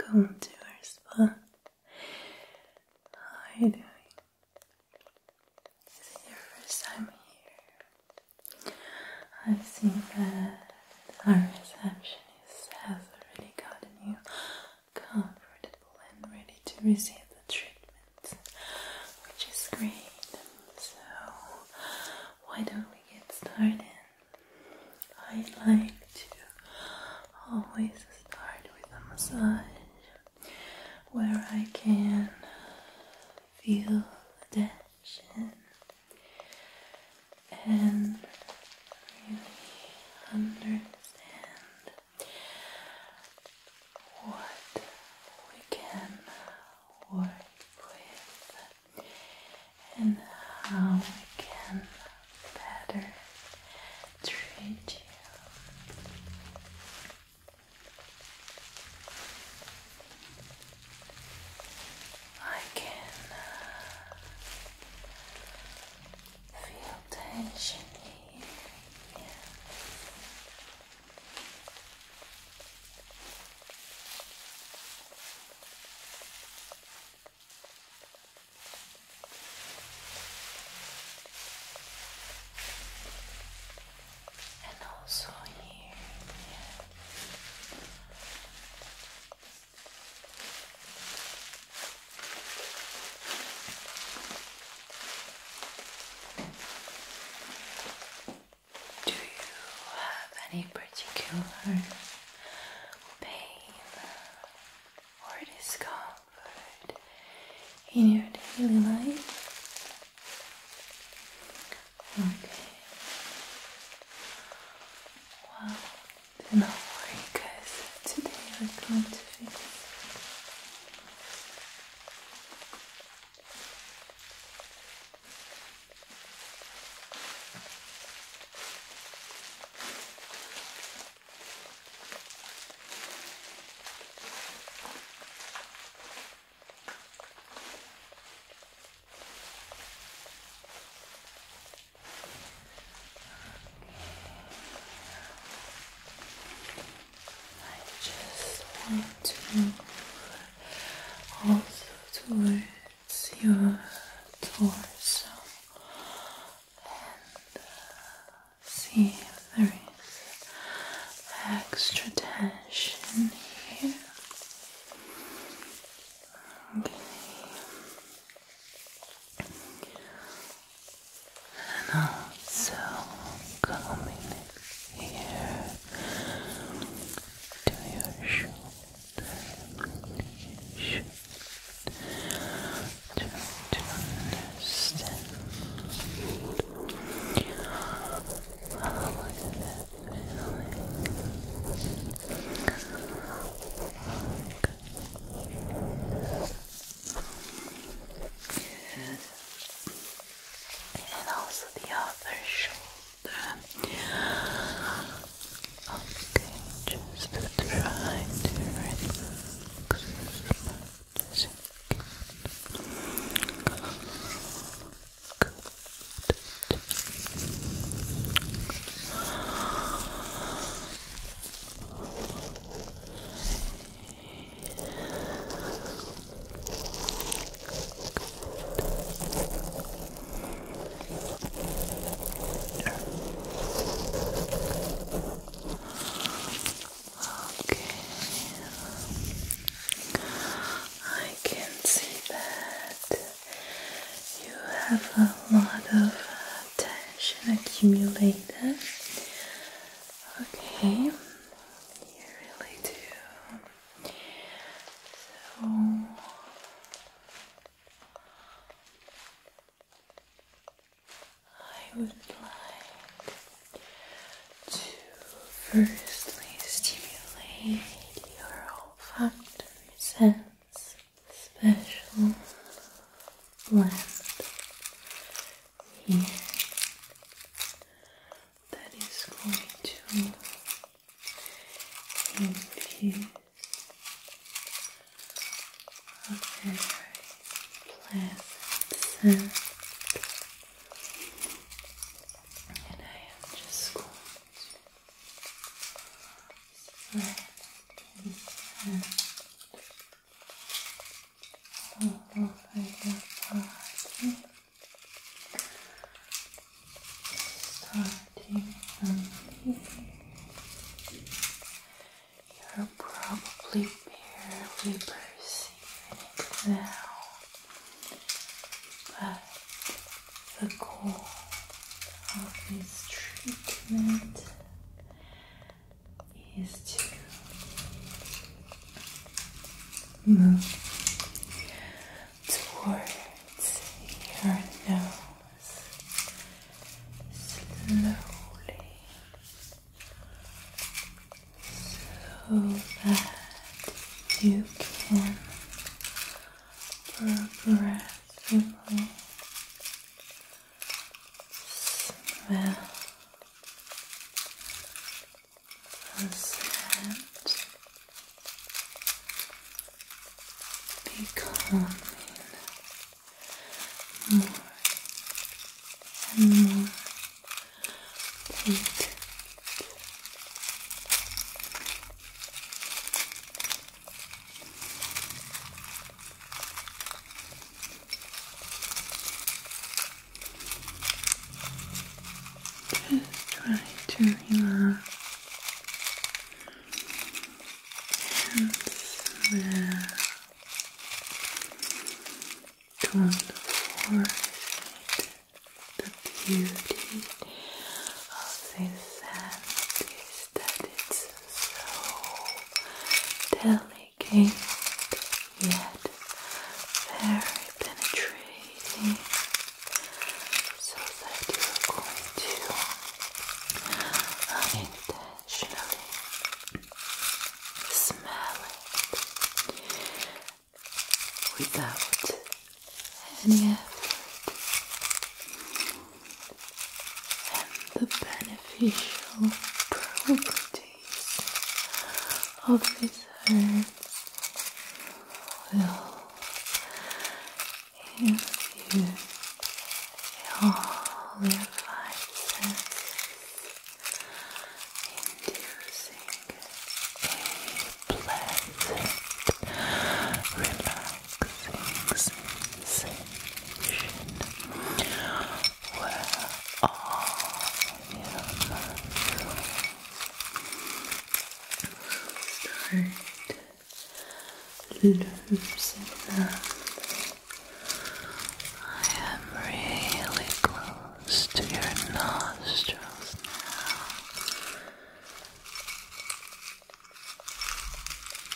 Welcome to our spa. How are you doing? Is it your first time here? I see that our receptionist has already gotten you comfortable and ready to receive the treatment, which is great. So, why don't we get started? I like to always start with a massage where I can feel the tension and really understand what we can work with and how we can better treat you. I can uh, feel tension here. And also here. Do you have any particular pain or discomfort in your daily life? Okay. Well, do not worry, guys. Today we're going to fix I just want to also towards your torso and see if there is extra tension here. Okay. And also coming here to your shoulder, do not understand and also the other shoulder Okay, just to try to relax as much as you Good. Okay. I can see that you have a lot of tension accumulated. Okay, you really do. So I would like to firstly stimulate your olfactory sense, special blend here that is going to infuse of very pleasant scent. And I am just going to spread all over your body, starting from here. You're probably barely perceiving it now, but the goal of this treatment is to move towards your nose slowly so that you can progressively smell the becoming more and more weight. Just try to relax and to unfortunate the beauty of this sand is that it's so delicate yet very penetrating so that you're going to smell it without any effort, and the beneficial properties of this herb will infuse all inducing a pleasant, relaxing sensation where all your muscles start loosening up. I am really close to your nostrils now.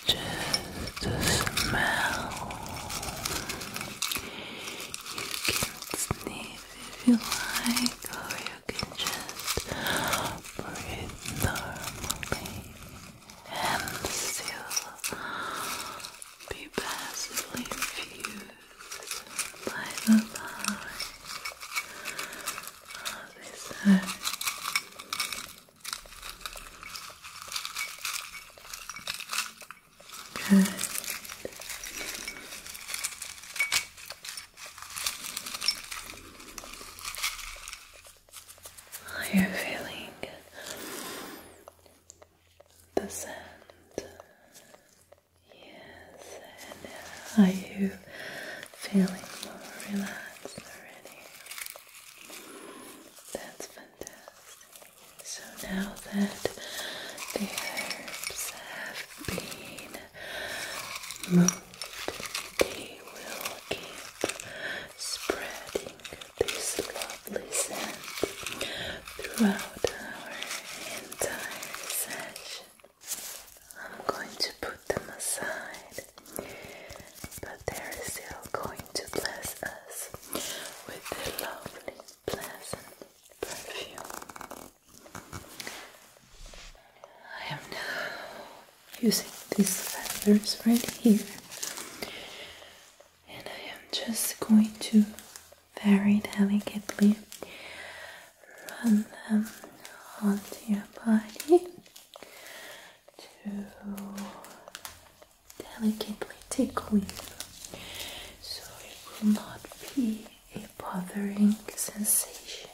Just the smell. You can sniff if you like, or you can just breathe normally and still be passively infused by the light of this earth. Good. How you're feeling the scent. Yes, are you feeling more relaxed already? That's fantastic. So now that the herbs have been moved, they will keep spreading this lovely scent throughout our entire session. I'm going to put them aside, but they're still going to bless us with their lovely, pleasant perfume. I am now using these feathers right here and I am just going to very delicately run them onto your body to delicately tickle you so it will not be a bothering sensation.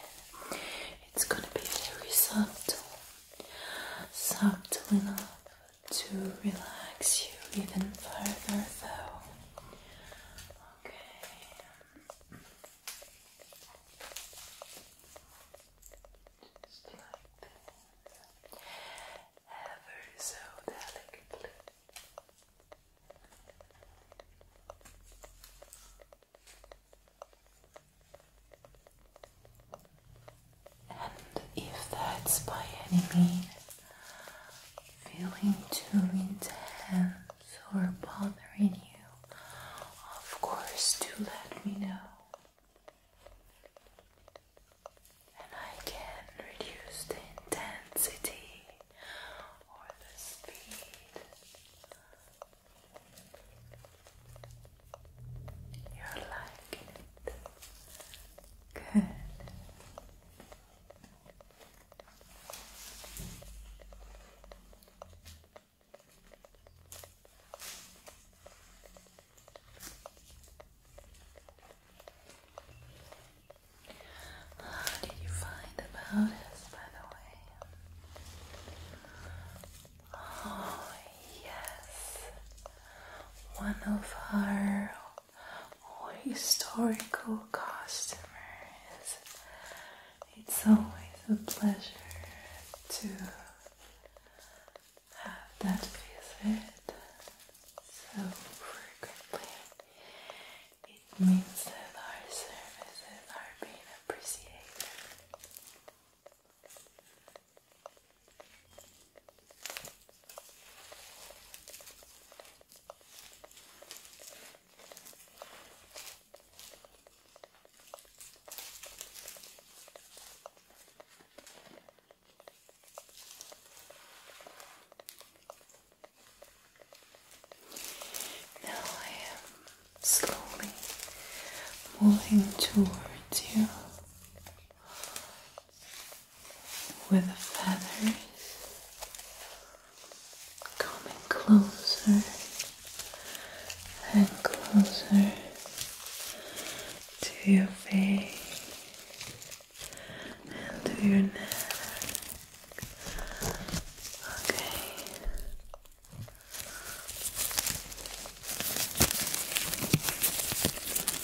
It's gonna be very subtle, subtle enough to relax you even further, though. Okay. Just like that. Ever so delicately. And if that's by any means feeling too intense or bothering you, of course, do let me know. And I can reduce the intensity or the speed. You're liking it. Good. How did you find about us, by the way? Oh, Yes, one of our historical customers. It's always a pleasure to have that visit so frequently. It means that our services are being appreciated. Now I am slowly moving towards you with the feathers coming closer and closer to your face and to your neck. Okay.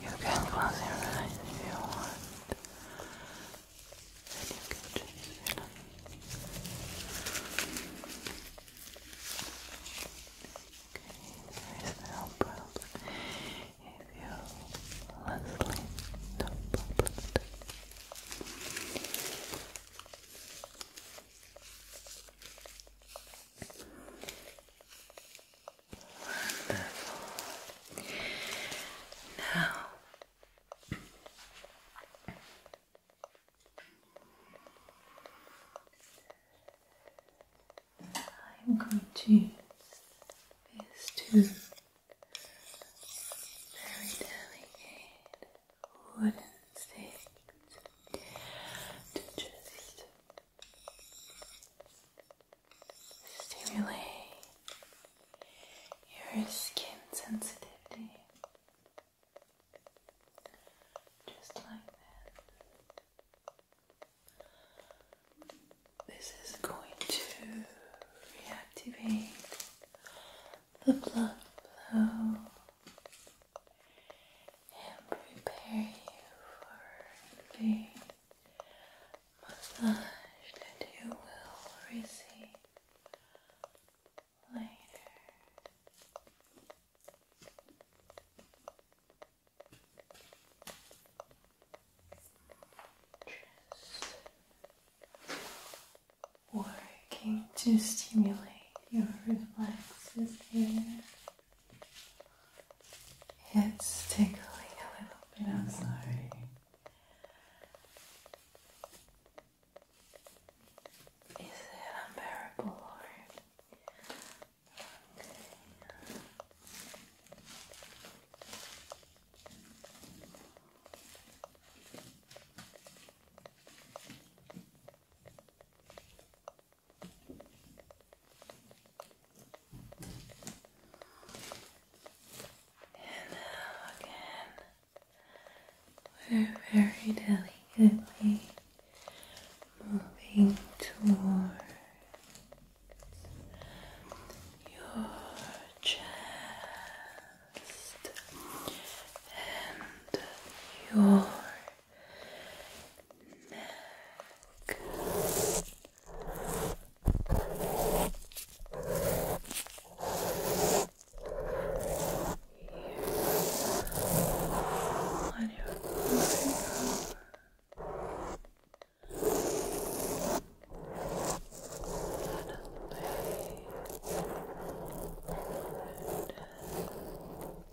You can close your eyes if you want, you can choose your Okay, there is no if you let sleep, no problem. Now I'm going to use these two very delicate wouldn't think to just stimulate your skin sensitivity just like that. This is going to reactivate the blood flow and prepare you for the massage that you will receive later. Just working to stimulate your reflexes here. It's tickling a little bit, I'm sorry. Is it unbearable or and again, we're very delicately moving towards your chest and your neck. Here. On your forearm. Suddenly,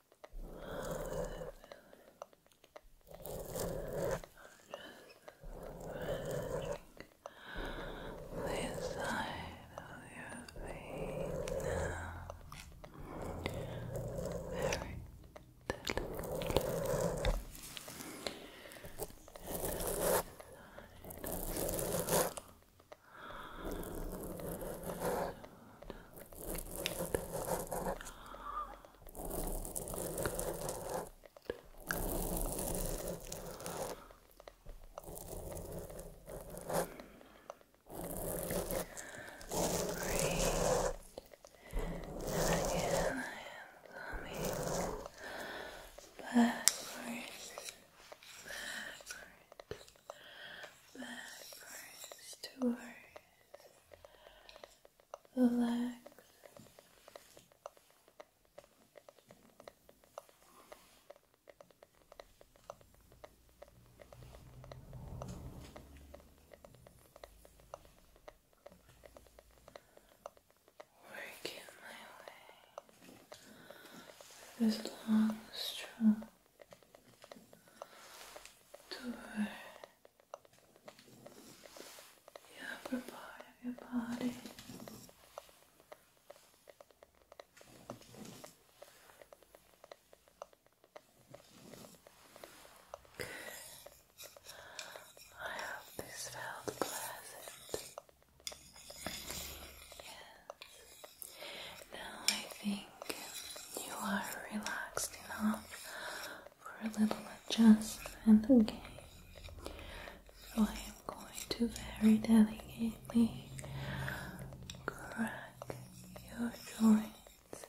the side of your feet now. Very delicately. And the side as well. So, so and again, I am coming backwards, backwards, backwards towards relax. my way this long stroke towards the part of your body. I hope this felt pleasant. Yes. Now I think you are relaxed enough for a little adjustment, okay? So I am going to very delicately crack your joints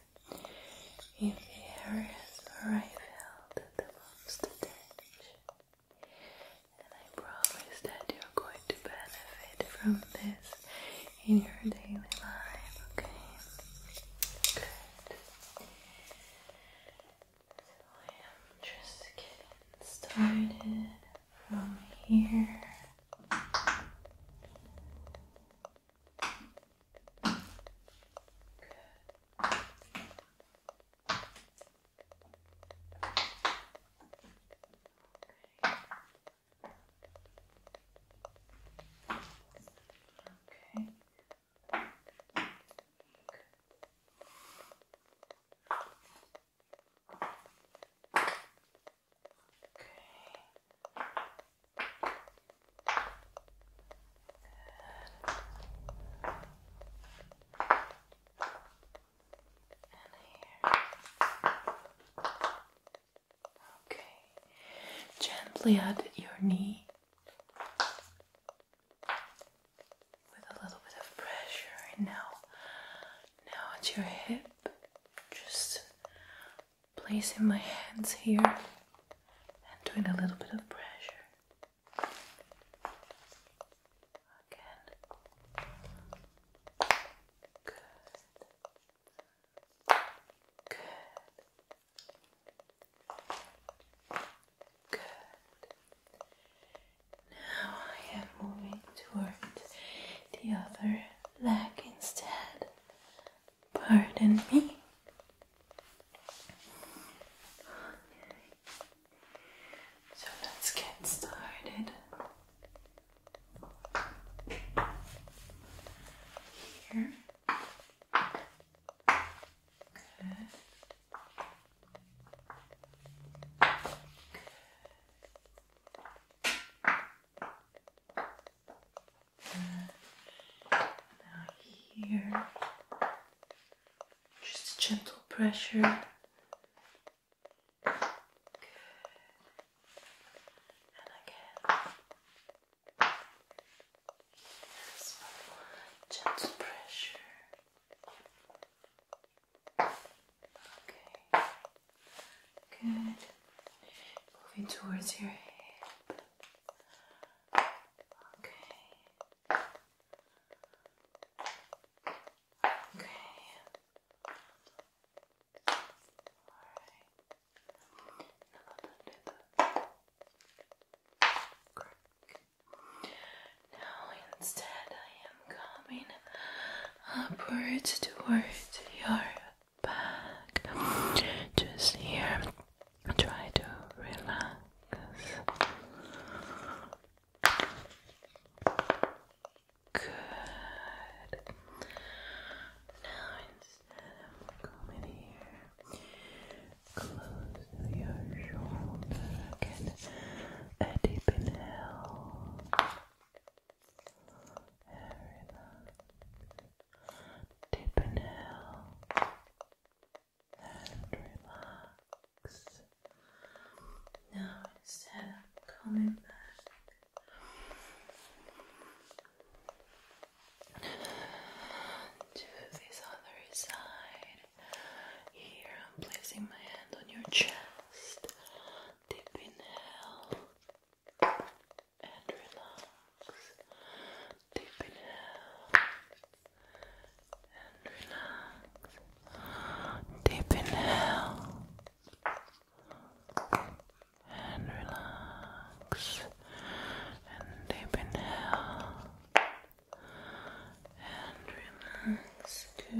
in the areas where I felt the most tension. And I promise that you're going to benefit from this in your daily life, okay? Good. So I am just getting started from here. Good. Okay. Okay. Good. And here. Okay. Gently at your knee with a little bit of pressure now now at your hip. Just placing my hands here and doing a little bit of pressure. Again. Good. Good. Good. Now I am moving towards the other leg instead. Pardon me. So let's get started. Here. Now here, just gentle pressure. Good. And again gentle pressure. Okay, good. Moving towards your hip. Okay. Okay. All right. Now instead I am coming upwards towards your back. Just here. Try to relax. Good. Now now come in here. Close your shoulder again. A deep inhale. Relax. Deep inhale. And relax. Now instead of coming back to this other side. Here I'm placing my hand on your chest. Deep inhale and relax. Deep inhale and relax. Deep inhale and relax and deep inhale and relax. Good. I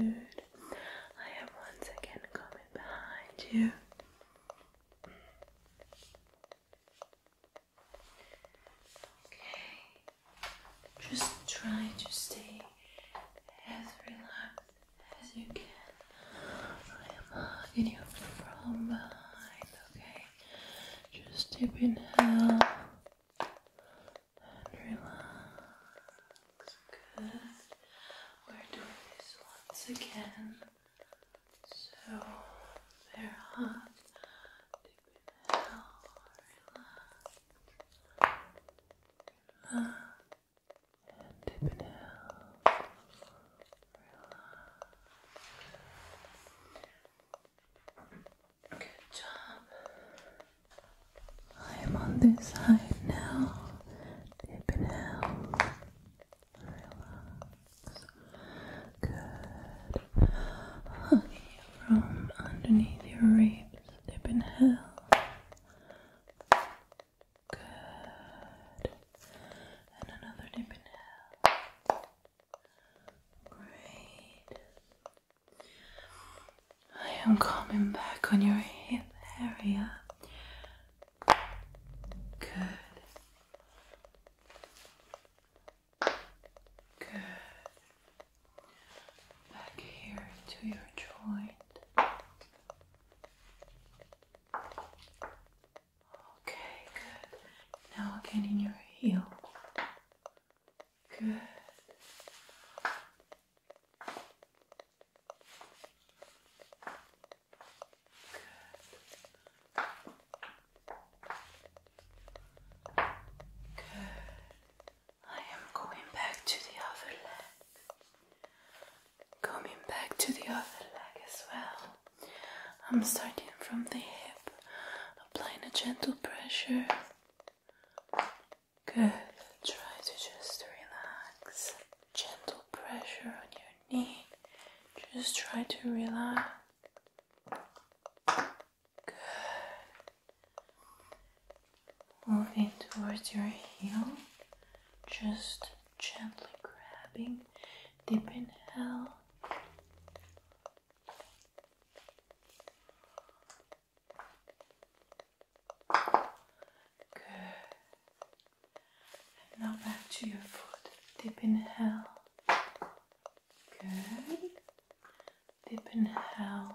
am once again coming behind you. Okay. Just try to stay as relaxed as you can. I am hugging you from behind, okay? Just deep inhale and relax. We're doing this once again. So they're Deep inhale, relax. relax. inhale. Good job. I'm on this side now. Deep inhale. Relax. Good. Okay, from underneath your ribs. Deep inhale. Good. And another deep inhale. Great. I am coming back on your hip area. Good. Good. Back here to your joint. Okay, good. Now again in your heel. Good. Good. I am going back to the other leg. Coming back to the other leg as well. I'm starting from the hip, applying a gentle pressure. Good. Try to just relax. Gentle pressure on your knee. Just try to relax. Good. Moving towards your heel, just gently grabbing, deep inhale, Good. now back to your foot. Deep inhale. Good. Deep inhale.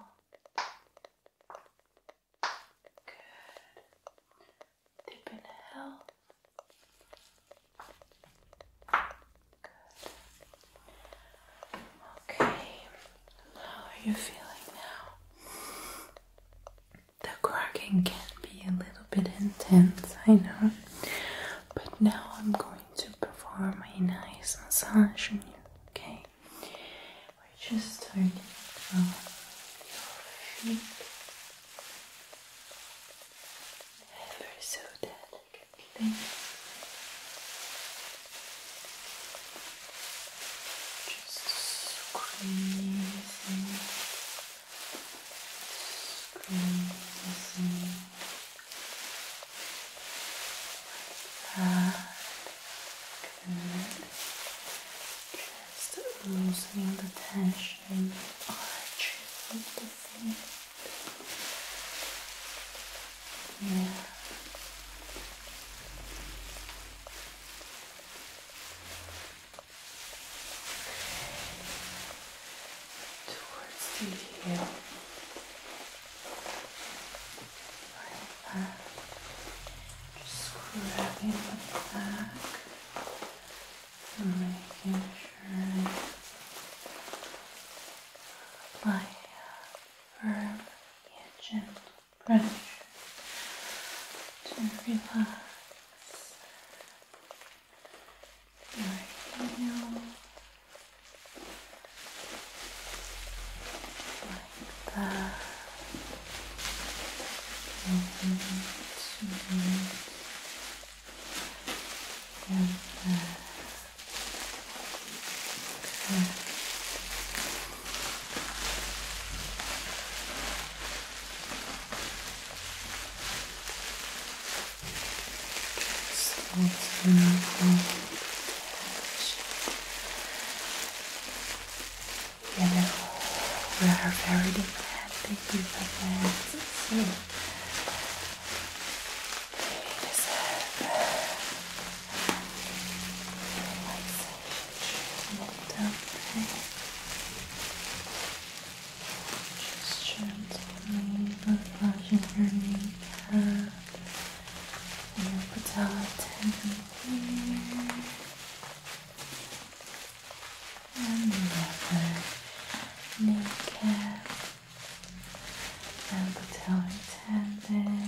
Good. Deep inhale. Okay, how are you feeling now? The cracking can be a little bit intense, I know, but now I'm going to perform a nice massage on you, okay? We're just starting from your feet. Ever so delicate everything. Just squeezing, squeezing that. Good. Just loosening the tension. Arching noticing it. Towards the heel. Right back. Just grabbing the back making sure I firm and edge pressure to relax your heel like that and down there. Okay. Just you we are very demanding people, so just gently massaging your kneecap and your patella tendon here. And the other kneecap and put how it's handed.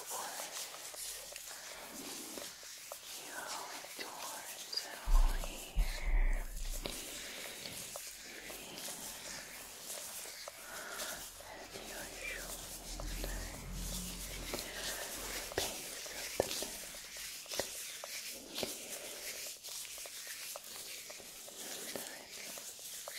the you are all here. And your shoulders, the base of the neck. The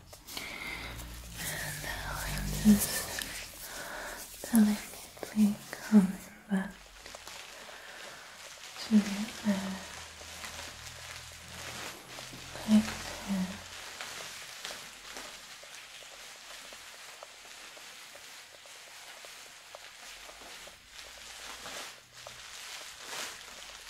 And now I'm just delicately coming back to the earth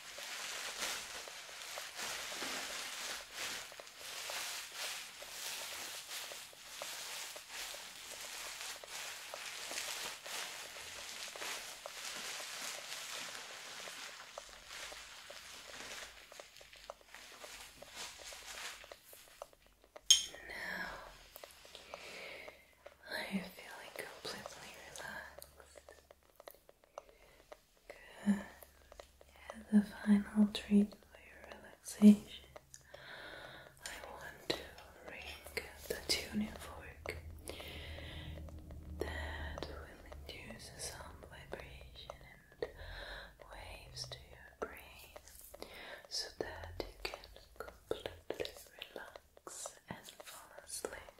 Now I am feeling completely relaxed. Good. Yeah, the final treat for your relaxation. I want to ring the tuning fork that will induce some vibration and waves to your brain so that you can completely relax and fall asleep.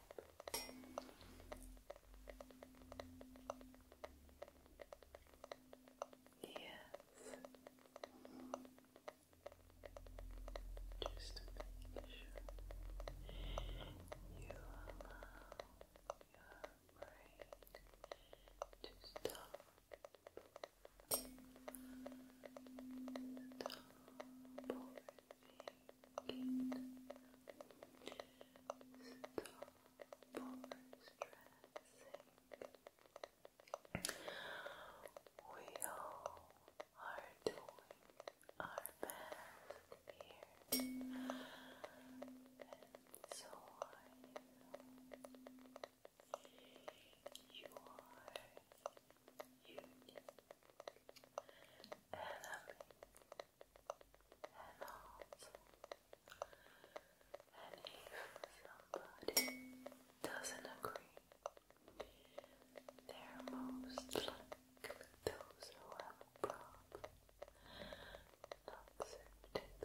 Yes. Just to make sure you allow your brain to stop. stop we all are doing our best here, and so are you. You are unique enemy, and if somebody doesn't agree, they're most likely those who have a problem not accepted.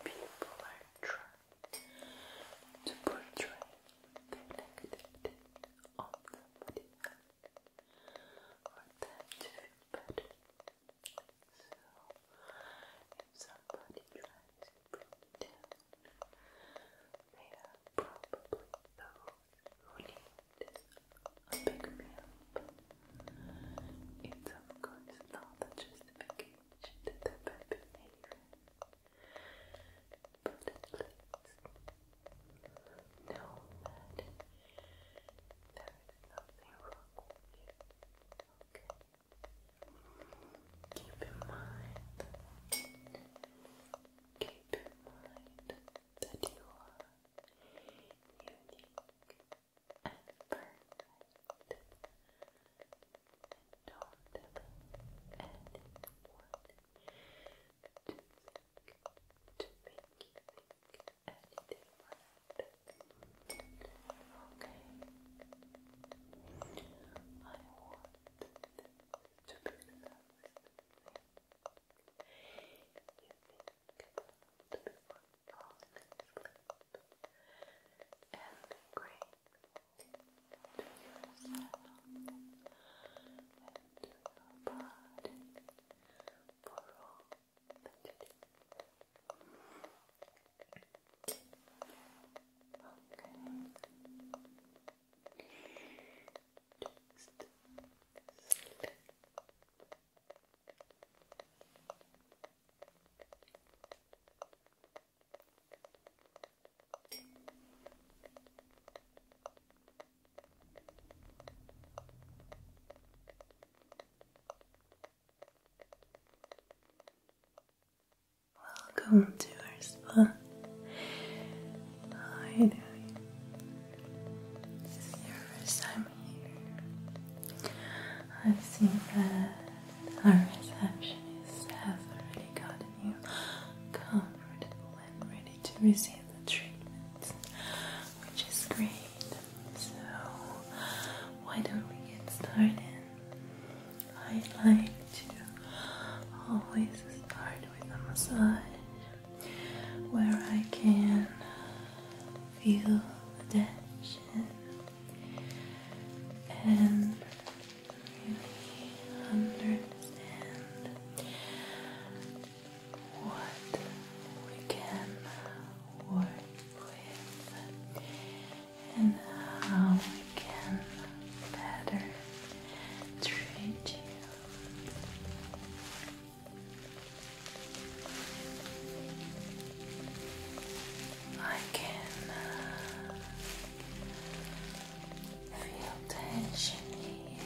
Always people are trying to portray the negativity of somebody else or them to feel better. So, if somebody tries to bring you down, they a big meal. It's of course not a justification to the population. But at least know that wrong with you. Okay? Keep in mind, keep in mind that you are unique and perfect darling, and it would to make you think anything Okay. I want to be you think about the before falling asleep and the great into yourself, into your body for all that you Okay. Just sleep. Welcome to our spa. How This is your first time here. I've seen that our receptionists have already gotten you comfortable and ready to receive the treatment, which is great. So, why don't we get started? I like to always start with a massage where I can feel the tension and really understand what we can work with and how we can better treat you. I can uh, Feel tension here.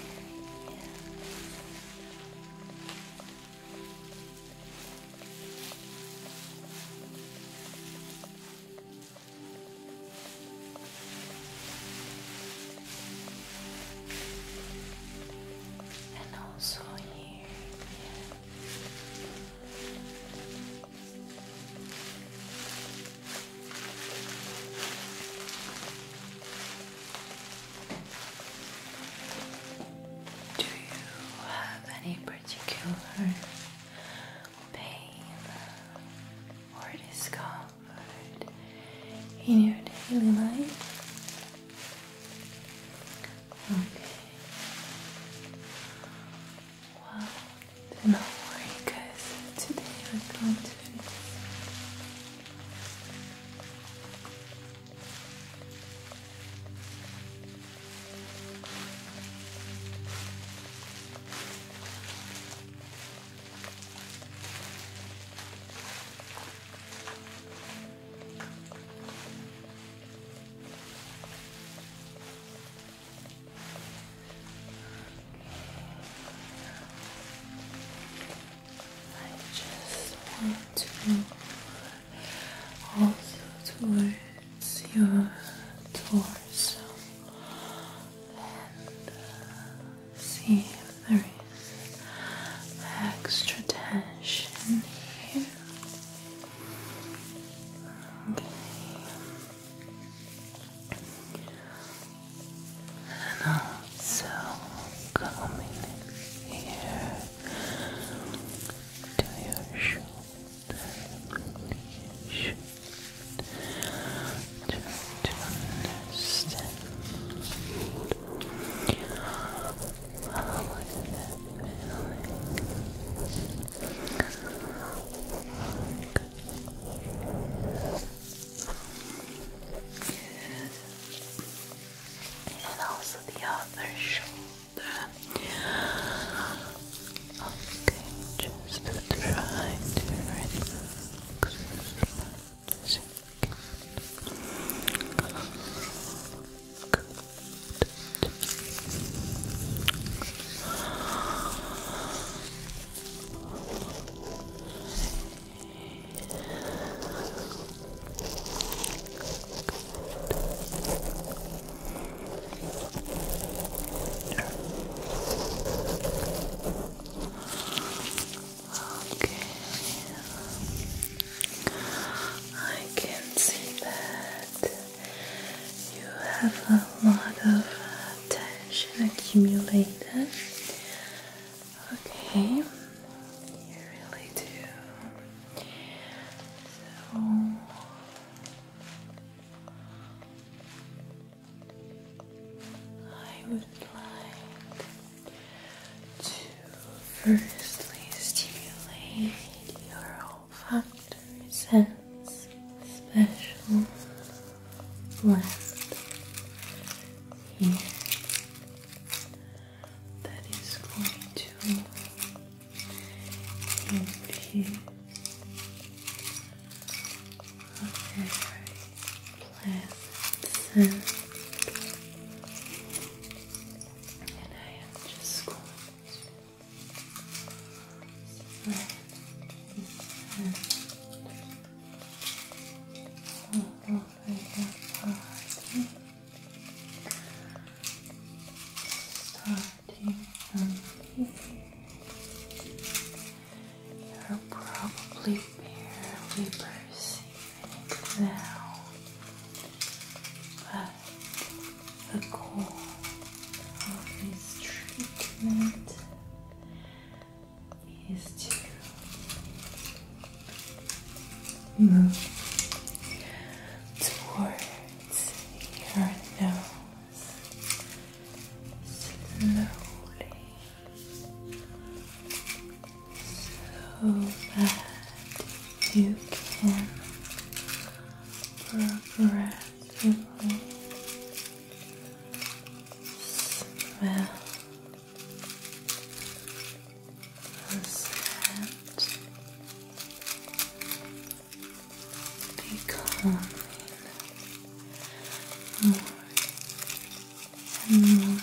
And also here, do you have any particular pain or discomfort in your daily life? Okay. Well, do not worry guys, today we're going to I just want to also towards your torso and uh, see if there is extra tension here. Okay and also coming here to your shoulder, to understand how is that feeling? Good. And also the other shoulder. Okay, just to try to relax. Good. I can see that you have a lot of tension accumulated. Okay, you really do. So I would like to firstly stimulate your olfactory sense special blend here that is going to give a very pleasant scent. And I am just going to all over your starting from here. You're probably barely perceiving it now, but the goal of this treatment is to move towards your nose slowly so that you can progress several smell that becoming more and more patent.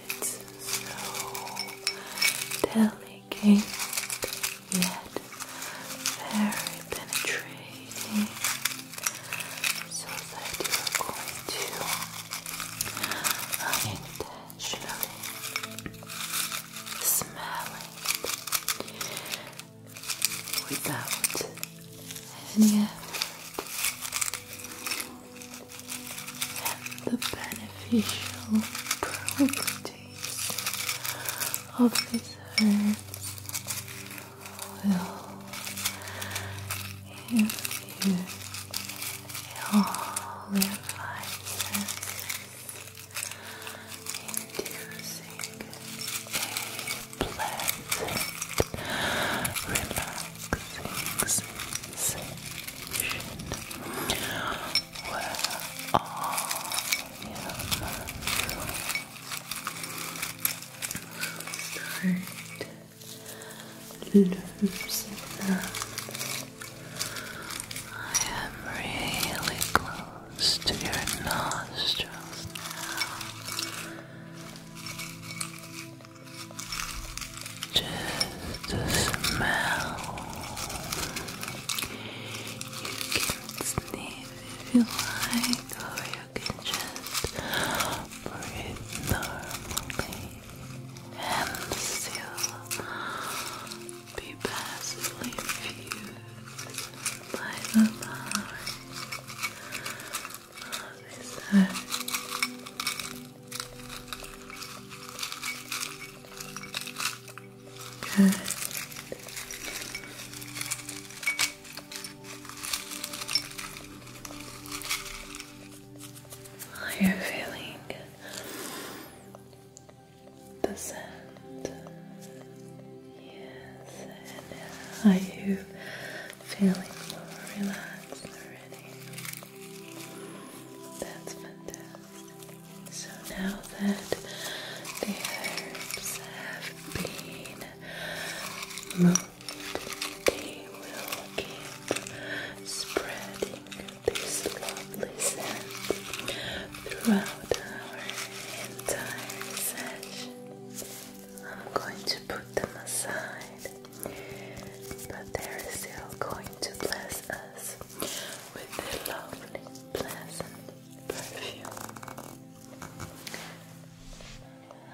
it's so delicate yet very penetrating so that you're going to unintentionally smell it without any effort and the beneficial properties of this herb will infuse your five inducing a pleasant, relaxing sensation where all your muscles start losing them. I am really close to your nostrils now. Just the smell. You can sniff if you like, or you can just breathe normally and still be passively infused by the light of this earth. Good. you feeling the scent. Yes, are you feeling more relaxed already? That's fantastic. So now that the herbs have been moved, they will keep spreading this lovely scent throughout our entire session. I'm going to put them aside, but they're still going to bless with their lovely, pleasant perfume.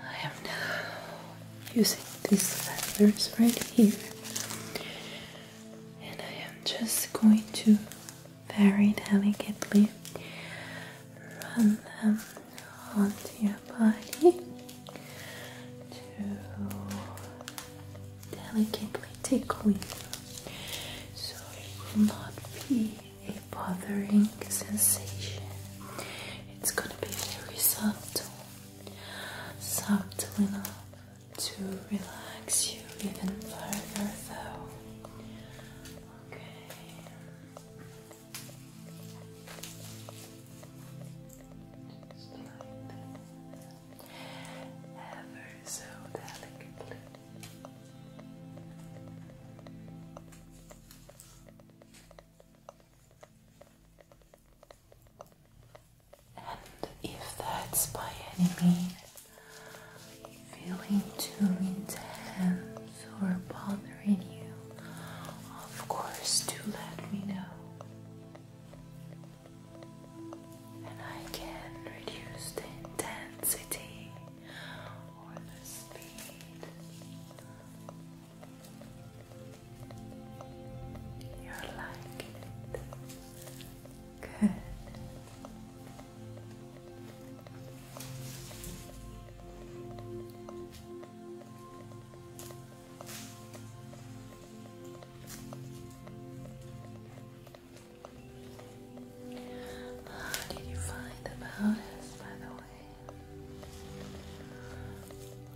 I am now using these feathers right here, and I am just going to very delicately run them onto your body delicately tickle you so it will not be a bothering sensation. It's gonna be very subtle, subtle enough to relax you even further So, Okay so delicately. And if that's by any means feeling too intense or bothering you, of course, do let me know and I can reduce the intensity or the speed. You're liking it. Good. How did you find about us, by the way?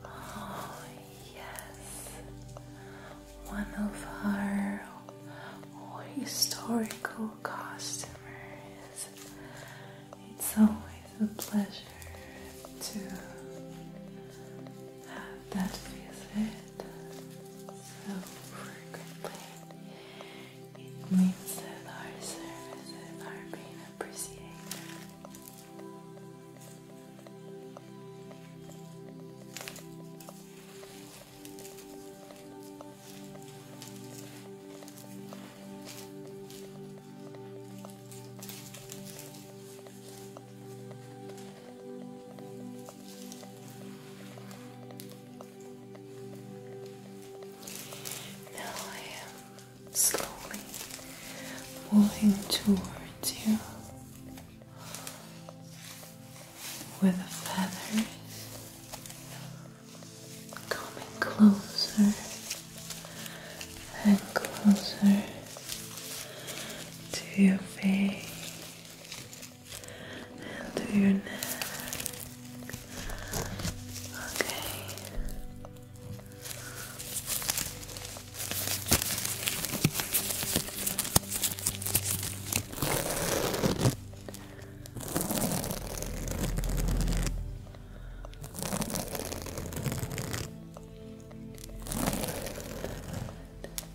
Oh, yes. One of our historical customers. It's always a pleasure to have that visit so frequently. It means that our services are being appreciated. Now I am slowly moving towards you with the feathers coming closer and closer to your face and to your neck. Okay. Okay.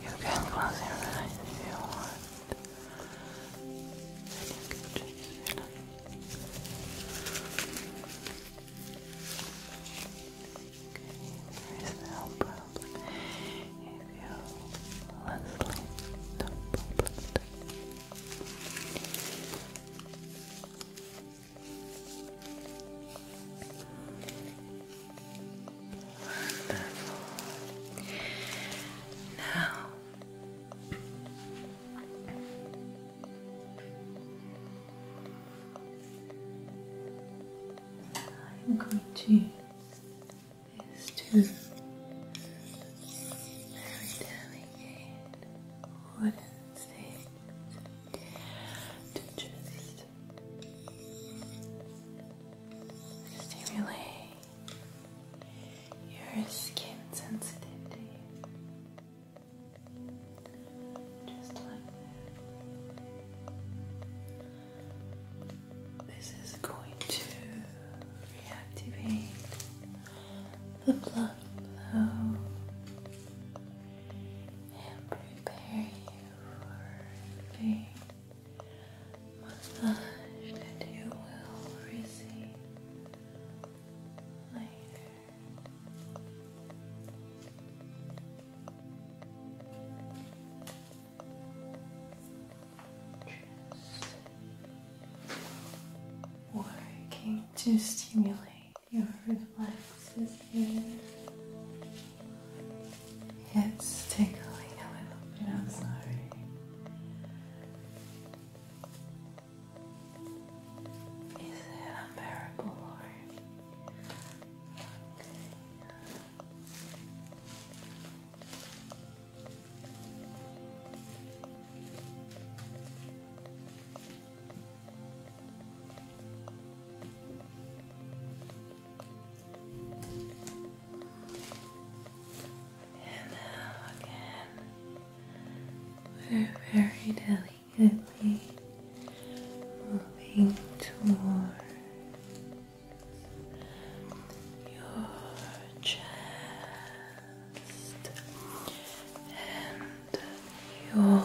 You can close your eyes if you want. And you can just relax. There is no problem. If you fall asleep, no Wonderful. Now. I'm going to use two very delicate wooden sticks to just stimulate your skin sensitivity. This is going to reactivate the blood flow and prepare you for the massage that you will receive later working to stimulate your reflexes here. It's tickling a little bit, I'm sorry. Is it unbearable, Lord? And now again, we're very delicate gently moving towards your chest and your neck.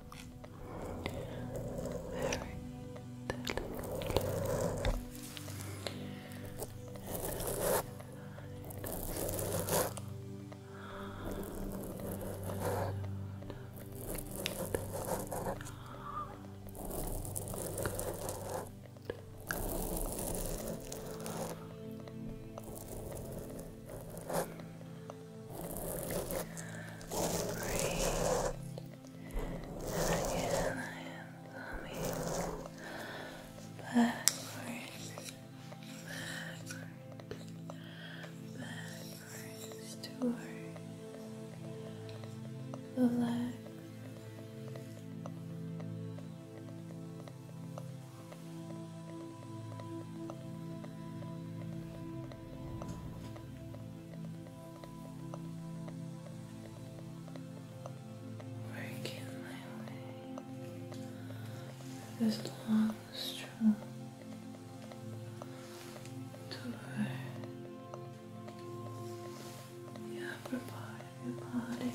very delicately Great. And again, I am coming backwards, backwards, backwards toward the left. Right. Working my way this long stroke toward the upper part of your body.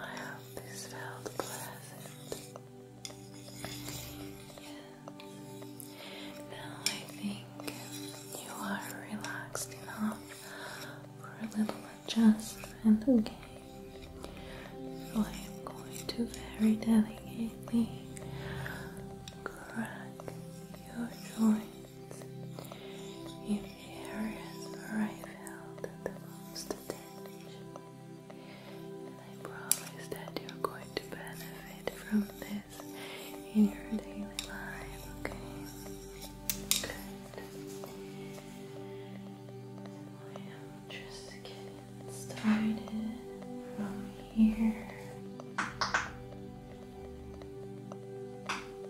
I hope this felt pleasant. Now I think you are relaxed enough for a little adjustment, So I am going to very delicately crack your joint in areas where I felt the most attention. And I promise that you're going to benefit from this in your daily life, okay? Good. I am just getting started from here.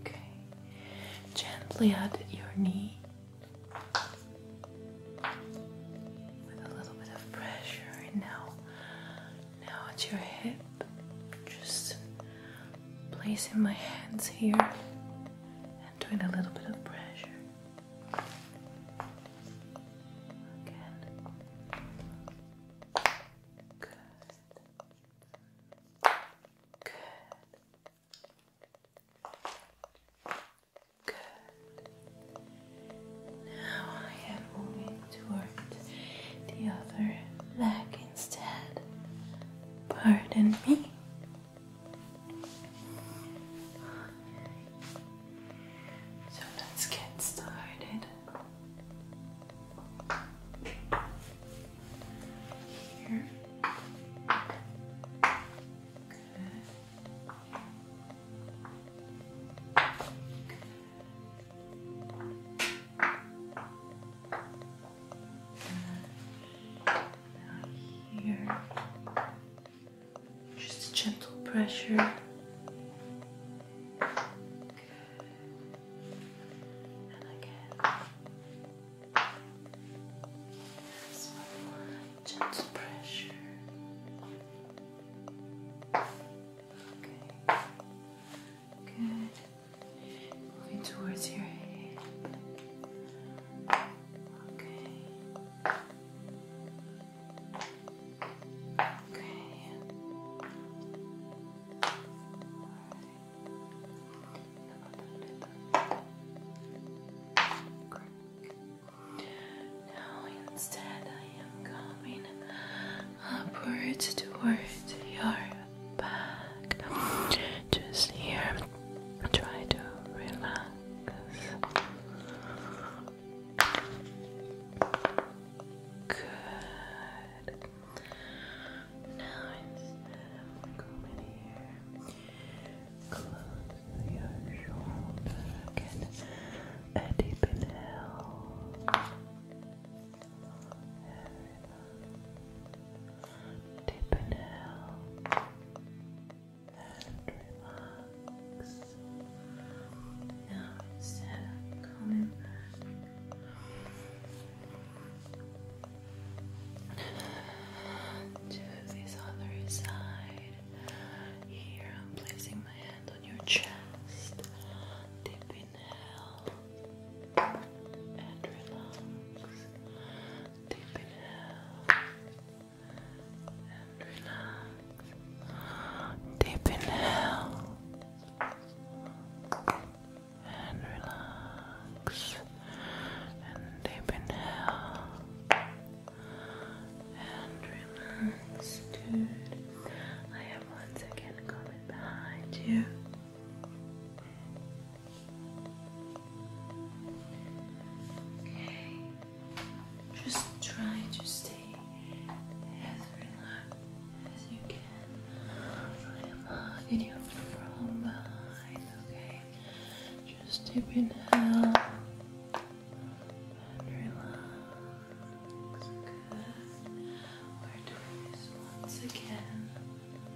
Okay, gently at your knee with a little bit of pressure, and now, now at your hip, just placing my hands here and doing a little bit of pressure. Good. Good. Good. Now I am moving towards the other leg instead. Pardon me. So let's get started. Here. Just a gentle pressure. Good. And again. gentle pressure. Okay. Good. Moving towards your head. Okay. Okay. Now instead I am coming upwards towards your back. Just here. Try to relax. Good. Now instead of coming here, close your shoulder. Get a deep inhale. Deep inhale and relax. Now instead of coming back to this other side, here I'm placing my hand on your chest. Deep inhale and relax. Deep inhale and relax. Deep inhale and relax. And deep inhale and relax, dude. I am once again coming behind you just try to stay as relaxed as you can. I am hugging you from behind, okay? Just deep inhale and relax. We're doing this once again.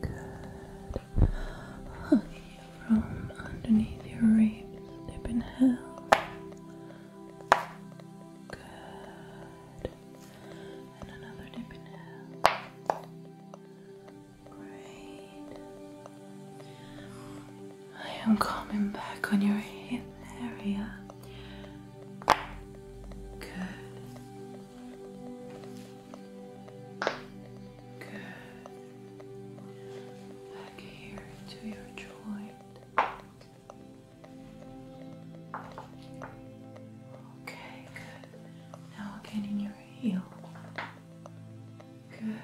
Good. Hug you from underneath your ribs. Dip and inhale. Good. And another dip and inhale. Great. I am coming back on your hip area. Good. Good. Back here to your joint. Okay, good. Now again in your heel. Good.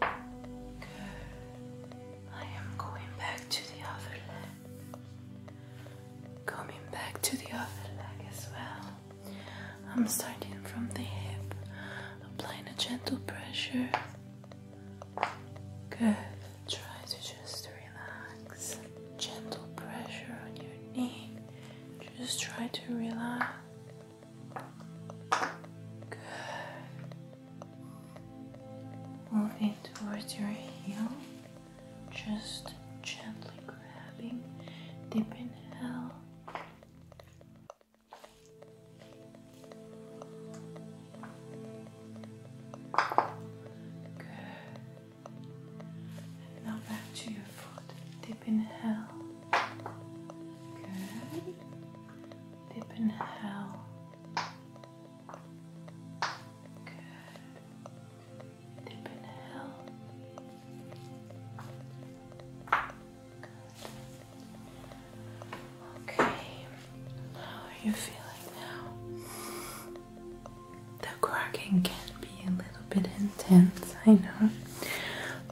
I am going back to the other leg. Coming back to the other leg as well. I'm starting from the hip, applying a gentle pressure. Good. Try to just relax. Gentle pressure on your knee. Just try to relax. Moving towards your heel, just gently grabbing, deep inhale. Good. now back to your foot, in hell. Good. Deep inhale. Good. Deep inhale. Good. Okay. How are you feeling now? The cracking can be a little bit intense, I know.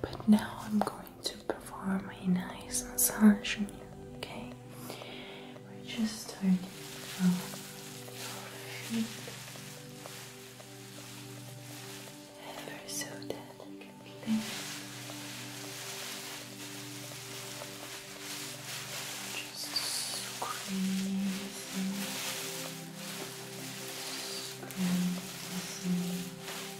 But now I'm going to perform a nice massage on you, okay? We're just starting from Ever so delicately. Just squeezing, squeezing.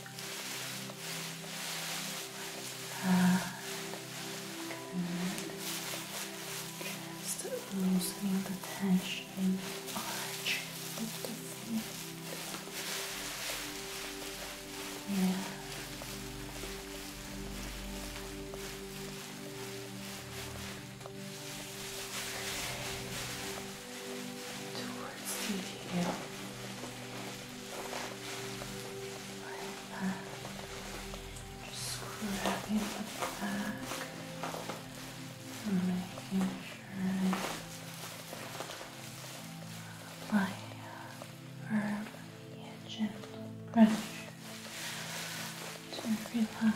Just loosening the tension, arch of the feet. Yeah towards the heel. Like that. Just the back making sure it's light, gentle pressure to relax.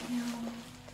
Your heels,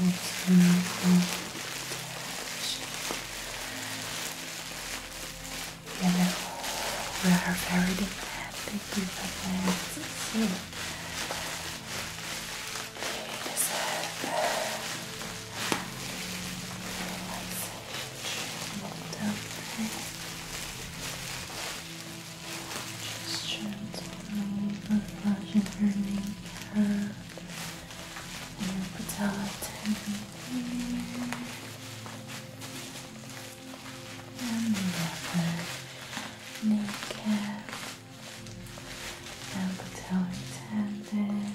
You we are very demanding people and see. They deserve relaxation, do just gently massaging her kneecap and your patellar here. And the other kneecap and patellar tendon.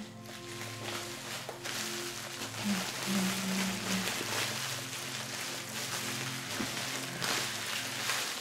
Okay.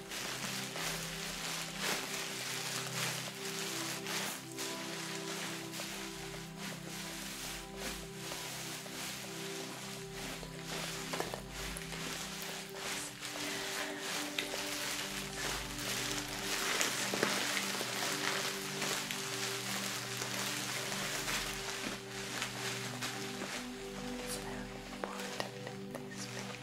It's very important in this video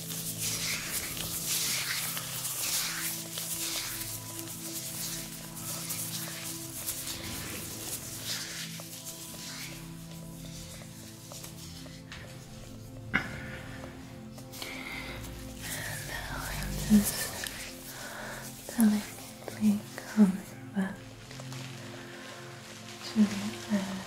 And now I'm just delicately coming back to the earth.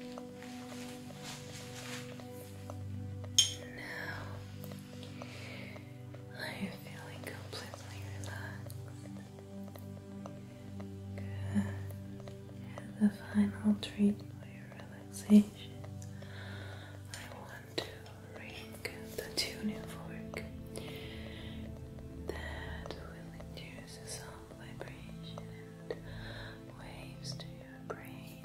Now I am completely relaxed. Good. And the final treat for your relaxation. I want to ring the tuning fork that will induce some vibration and waves to your brain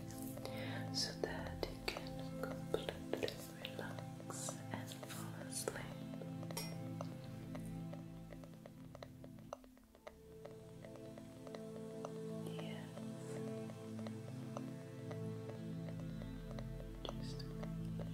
so that you can completely relax and fall asleep. Yes. Just to make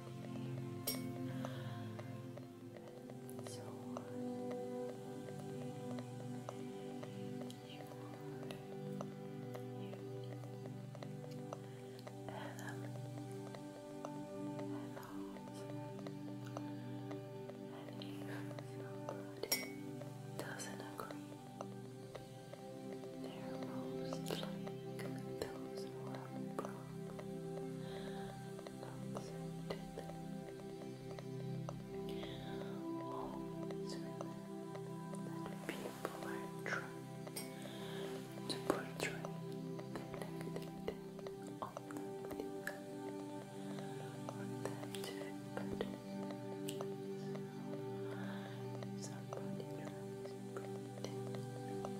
So you you Adam and and if somebody doesn't agree their most like those who have problems to them. people are trying to portray the negativity of the or that to better. So, somebody tries to pretend.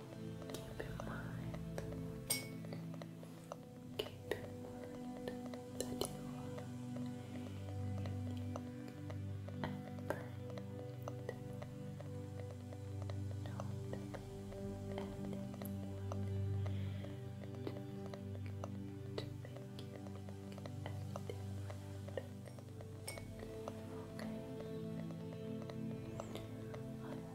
Keep in mind, keep in mind that you are imperfect. Don't let anyone to make you think any Okay.